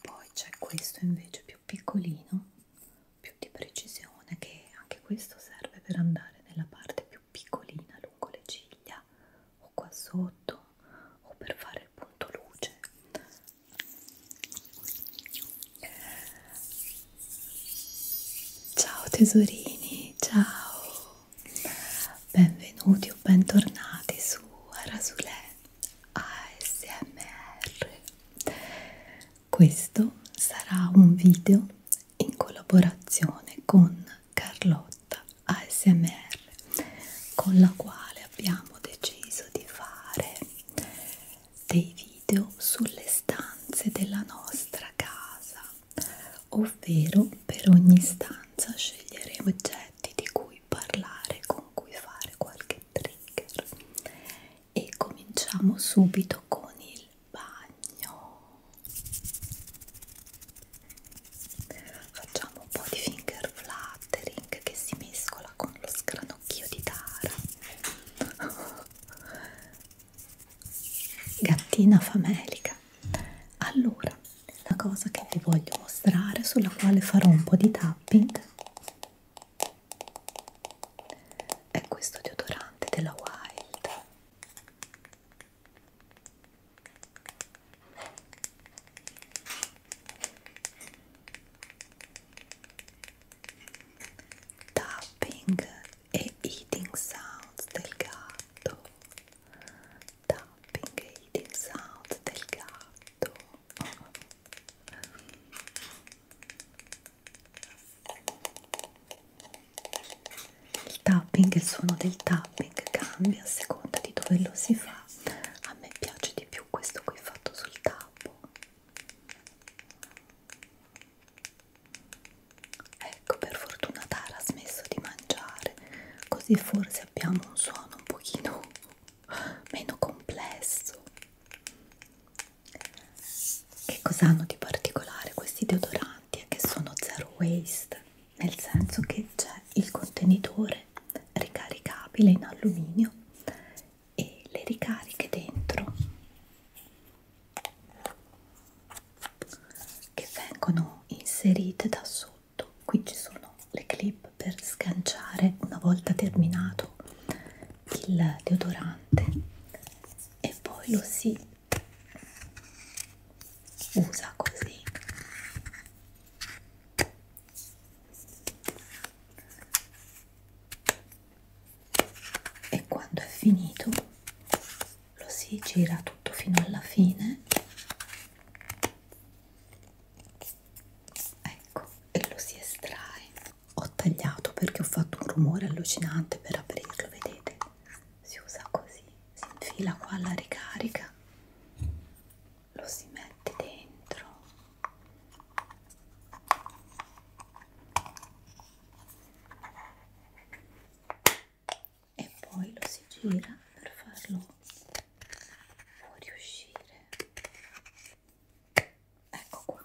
Poi c'è questo invece più piccolino, più di precisione, che anche questo serve per andare nella parte più piccolina lungo le ciglia o qua sotto o per fare il punto luce Ciao tesorini, ciao, benvenuti o bentornati su Arasulè ASMR. Questo sarà un video in collaborazione con Carlotta ASMR, con la quale abbiamo deciso di fare dei video sulle stanze della nostra casa, ovvero per ogni stanza sceglieremo oggetti di cui parlare, con cui fare qualche trigger e cominciamo subito con il bagno. Facciamo un po' di finger flattering che si mescola con lo scranocchio di Tara gattina famelica allora la cosa che vi voglio mostrare sulla quale farò un po' di tapping è questo deodorante della Wild tapping e eating sounds del gatto tapping e eating sounds del gatto il tapping, il suono del tapping cambia a seconda di dove lo si fa a me piace di più questo qui fatto sul tappo Ecco, per fortuna Tara ha smesso di mangiare, così forse abbiamo un suono un pochino meno complesso. Che cosa hanno di particolare questi deodoranti? È che sono zero waste, nel senso che c'è il contenitore ricaricabile in alluminio e le ricariche dentro che vengono inserite da sotto qui ci sono le clip per sganciare una volta terminato il deodorante e poi lo si usa così e quando è finito lo si gira tutto fino alla fine ecco e lo si estrae ho tagliato perché ho fatto un rumore allucinante per aprirlo vedete si usa così si infila qua la ricarica lo si mette dentro e poi lo si gira per farlo fuoriuscire ecco qua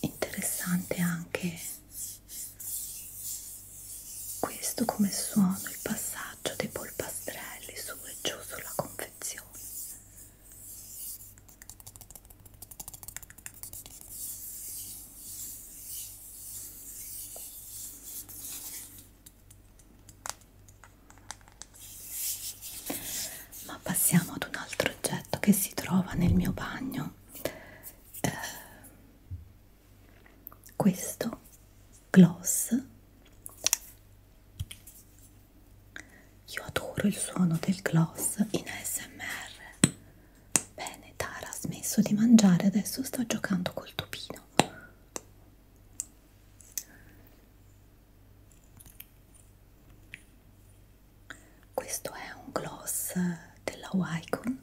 interessante anche questo come suono il passaggio dei polpastrelli su e giù sulla confezione. Ma passiamo ad un altro oggetto che si trova nel mio bagno. Eh, questo gloss io adoro il suono del gloss in ASMR bene Tara ha smesso di mangiare adesso sta giocando col topino questo è un gloss della Wycon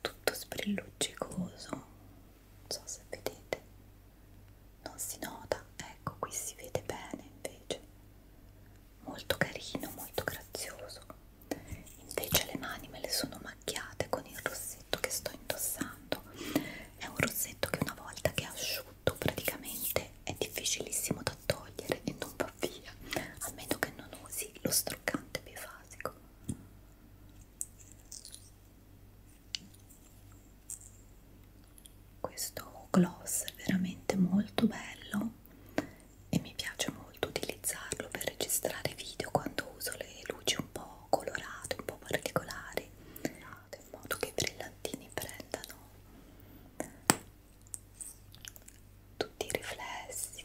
tutto sprilluccicoso non so se vedete non si nota ecco qui si vede bene invece molto carino molto grazioso invece le mani me le sono macchiate con il rossetto che sto indossando è un rossetto che una volta che è asciutto praticamente è difficilissimo da togliere e non va va via a meno che non usi lo struccante bifasico questo gloss è veramente molto bello e mi piace molto utilizzarlo per registrare video quando uso le luci un po' colorate, un po' particolari in modo che i brillantini prendano tutti i riflessi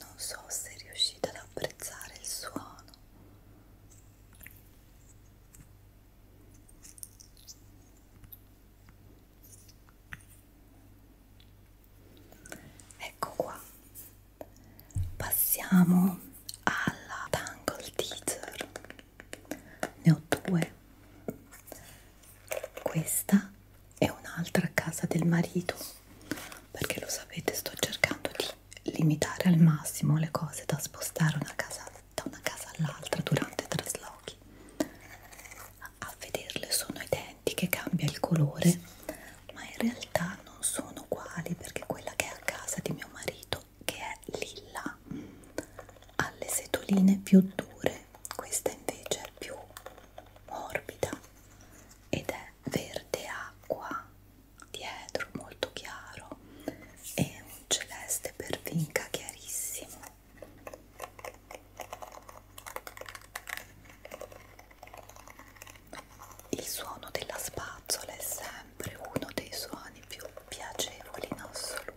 non so se riuscite ad apprezzare il suono ecco qua passiamo alla Tangle Teaser ne ho due questa è un'altra casa del marito perché lo sapete sto cercando di limitare al massimo le cose da spostare una casa, da una casa all'altra durante i traslochi a vederle sono identiche, cambia il colore ma in realtà non sono uguali perché quella che è a casa di mio marito che è lilla ha le setoline più dure questa invece è più morbida ed è verde acqua dietro molto chiaro e un celeste per vinca chiarissimo il suono della spazzola è sempre uno dei suoni più piacevoli in assoluto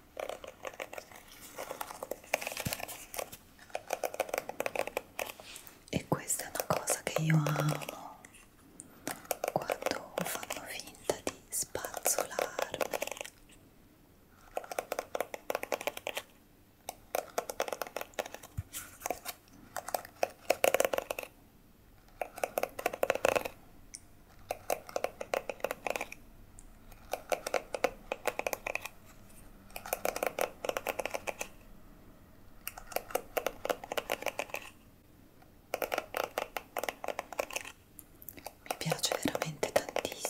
e questa è una cosa che io amo quando fanno finta di spazzolarmi mi piace veramente tantissimo.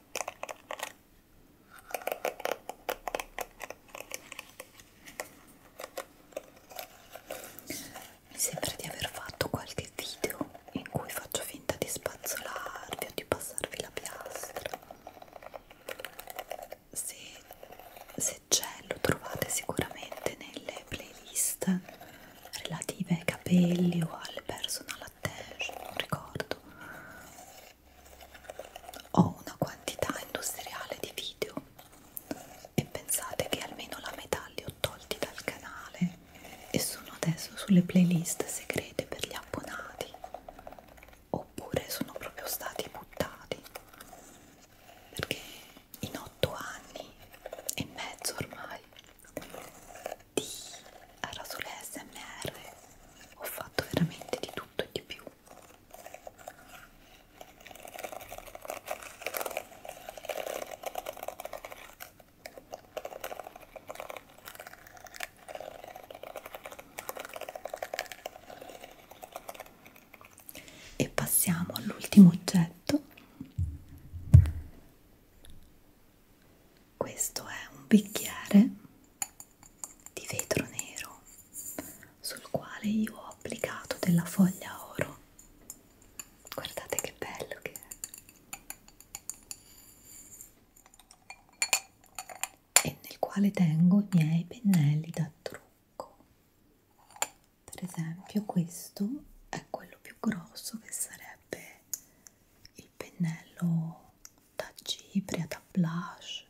Mi sembra di aver fatto qualche video in cui faccio finta di spazzolarvi o di passarvi la piastra. Se, se c'è lo trovate sicuramente nelle playlist relative ai capelli o al personal attention, non ricordo ho una quantità industriale di video e pensate che almeno la metà li ho tolti dal canale e sono adesso sulle playlist segrete per gli abbonati oppure sono proprio stati buttati perché in otto anni e mezzo ormai di Arasole SMR ho fatto veramente di tutto e di più e passiamo all'ultimo oggetto questo è un bicchiere di vetro nero sul quale io ho applicato della foglia oro. Guardate che bello che è! E nel quale tengo i miei pennelli da trucco. Per esempio questo è quello più più grosso che sarebbe il pennello da cipria, da blush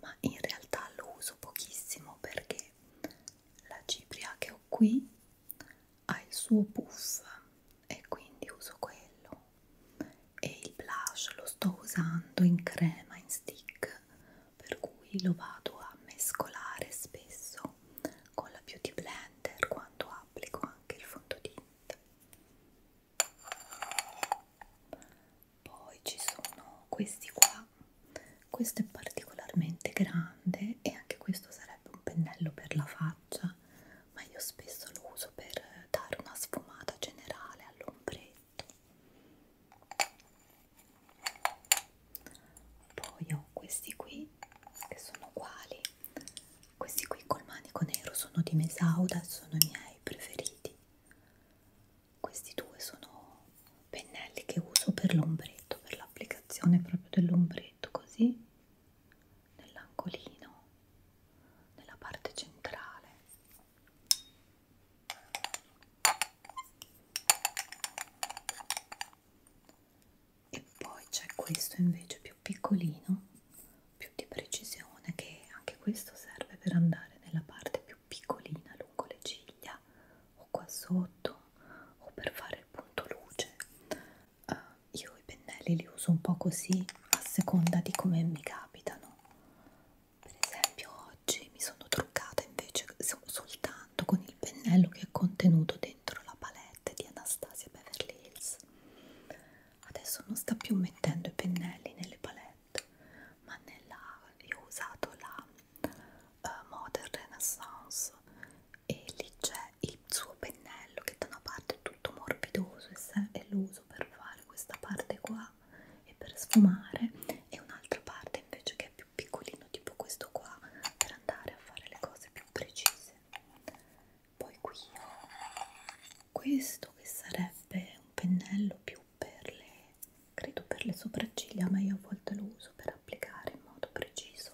ma in realtà lo uso pochissimo perché la cipria che ho qui ha il suo puff e quindi uso quello e il blush lo sto usando in crema, in stick per cui lo vado a mescolare spesso viso con la Beauty Blender quando applico anche il fondotinta poi ci sono questi qua questo è particolarmente grande e anche questo sarebbe un pennello per la faccia ma io spesso lo uso per dare una sfumata generale all'ombretto poi ho questi qui che sono uguali questi qui col manico nero sono di Mesauda sono i miei preferiti questi due sono pennelli che uso per l'ombretto per l'applicazione proprio dell'ombretto così nell'angolino nella parte centrale e poi c'è questo invece più piccolino più di precisione che anche questo serve per andare nella parte più piccolina lungo le ciglia o qua sotto o per fare il punto luce uh, io i pennelli li uso un po' così a seconda di come mi capitano per esempio oggi mi sono truccata invece soltanto con il pennello che è contenuto dentro la palette di Anastasia Beverly Hills adesso non sta più mettendo i pennelli nelle palette ma nella, io ho usato la uh, Modern Renaissance e lì c'è il suo pennello che da una parte è tutto morbidoso e, e lo uso per fare questa parte qua e per sfumare e un'altra parte invece che è più più piccolino tipo questo qua per andare a fare le cose più precise poi qui ho questo che sarebbe un pennello più per le credo per le sopracciglia ma io a volte lo uso per applicare in modo preciso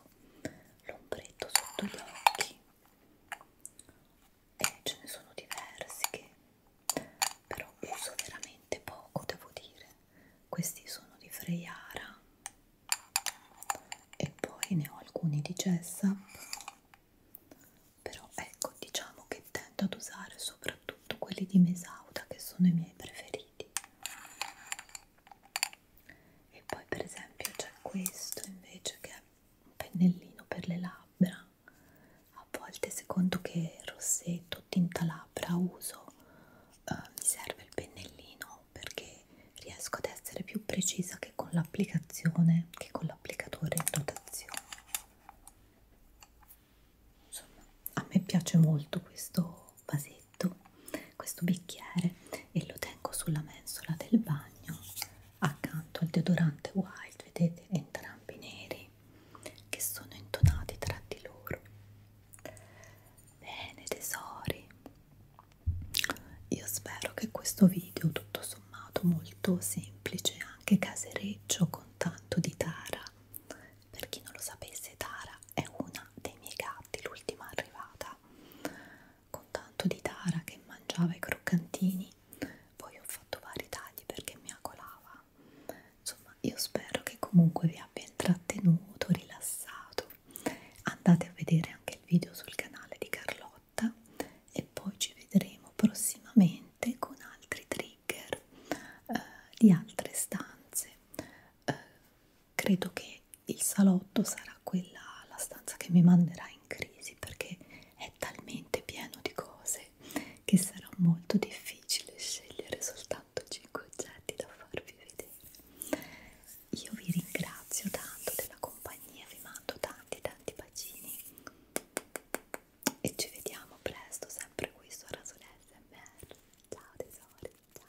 l'ombretto sotto gli occhi e ce ne sono diversi che però uso veramente poco devo dire questi sono di Freiara e poi ne ho alcuni di Jessap però ecco diciamo che tendo ad usare soprattutto quelli di Mesauda che sono i miei preferiti e poi per esempio c'è questo invece che è un pennellino per le labbra a volte secondo che rossetto tinta labbra uso uh, mi serve il pennellino perché riesco ad essere più precisa che con l'applicazione che con l'applicatore in rotazione insomma a me piace molto questo vasetto questo bicchiere e lo tengo sulla mensola del bagno accanto al deodorante wild vedete entrambi neri che sono intonati tra di loro Bene tesori, io spero che questo video tutto sommato molto semplice, anche casereccio con tanto di Tara. Per chi non lo sapesse Tara è una dei miei gatti, l'ultima arrivata. Con tanto di Tara che mangiava i croccantini, poi ho fatto vari tagli perché mi acolava insomma io spero che comunque vi abbia intrattenuto, rilassato andate a vedere anche il video sul canale di Carlotta e poi ci vedremo prossimamente con altri trigger eh, di altre stanze eh, credo che il salotto sarà quella la stanza che mi manderà in crisi perché è talmente pieno di cose che sarà molto difficile difficile scegliere soltanto 5 oggetti da farvi vedere. Io vi ringrazio tanto della compagnia, vi mando tanti tanti bacini e ci vediamo presto sempre qui su Rasolella MR. Ciao tesori, ciao!